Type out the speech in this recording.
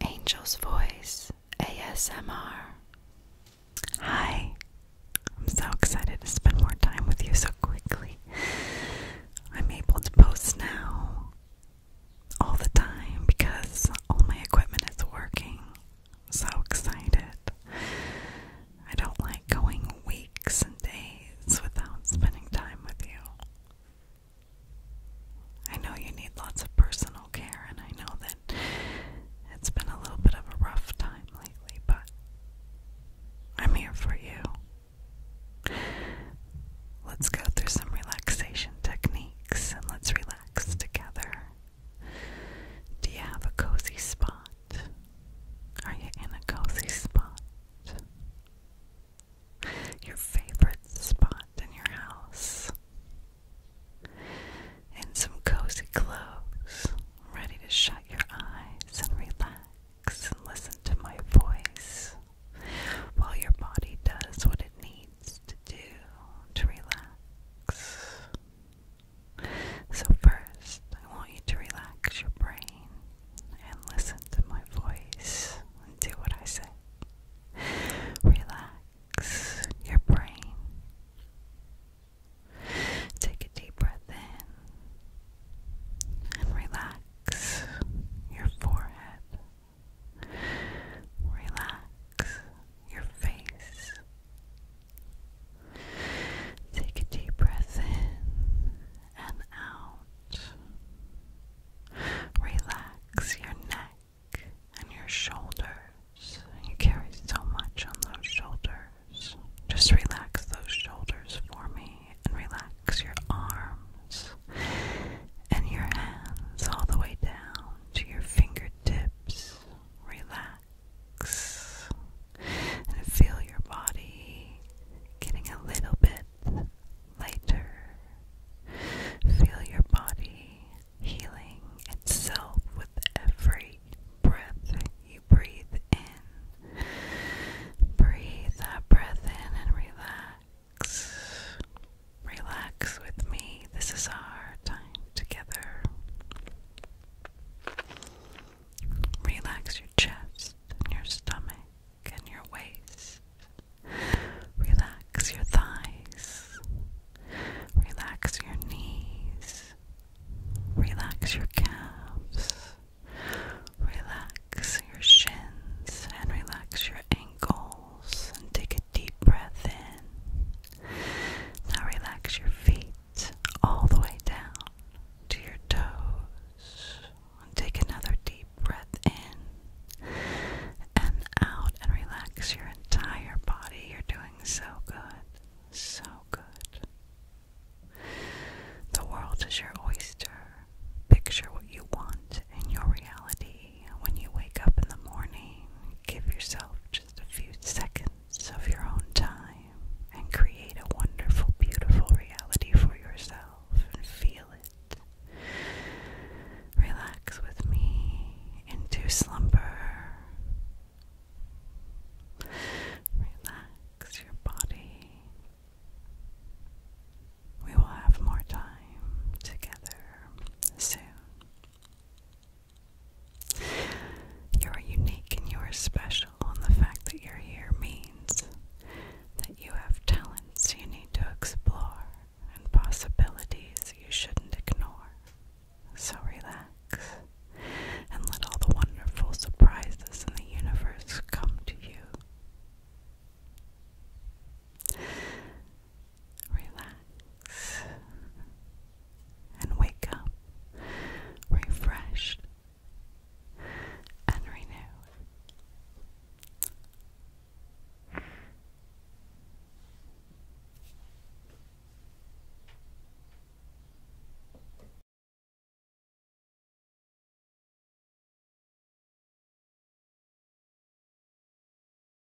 Angel's Voice ASMR. Hi, I'm so excited to spend more time with you so quickly. I'm able to post now all the time because all my equipment is working. so excited. I don't like going weeks and days without spending time with you. I know you need lots of personal care, and I know that it's been a little bit of a rough time lately, but I'm here for you. Let's go through some relaxation techniques and let's relax together. Do you have a cozy spot? Are you in a cozy spot? your favorite spot in your house, and some cozy clothes, ready to shut your eyes and relax and listen to my voice while your body does what it needs to do to relax. So, first, I want you to relax your brain and listen to my voice and do what I say. Relax your brain. Take a deep breath in and relax your forehead. Relax your face. Take a deep breath in and out. Relax your neck and your shoulders. You carry so much on those shoulders. Just relax those shoulders for me and relax your arms and your hands all the way down to your fingertips. Relax and feel your body getting a little bit lighter. Feel your body healing itself with every breath you breathe in. Breathe that breath in and relax. Relax with me. This is our time together. Relax your chest and your stomach and your waist. Relax your thighs. Relax your knees. Relax your calves. Relax your shins and relax your ankles and take a deep breath in. Now relax your feet all the way down to your toes. And take another deep breath in and out and relax your entire body. You're doing so good. So good. The world is your oyster. Picture what you want in your reality. When you wake up in the morning, give yourself just a few seconds of your own time and create a wonderful, beautiful reality for yourself and feel it. Relax with me into slumber. Relax your body. We will have more time together soon. You are unique and you are special, and the fact that you're here means that you have talents you need to explore and possibilities you shouldn't ignore. So relax and let all the wonderful surprises in the universe come to you relax, and wake up refreshed and renewed.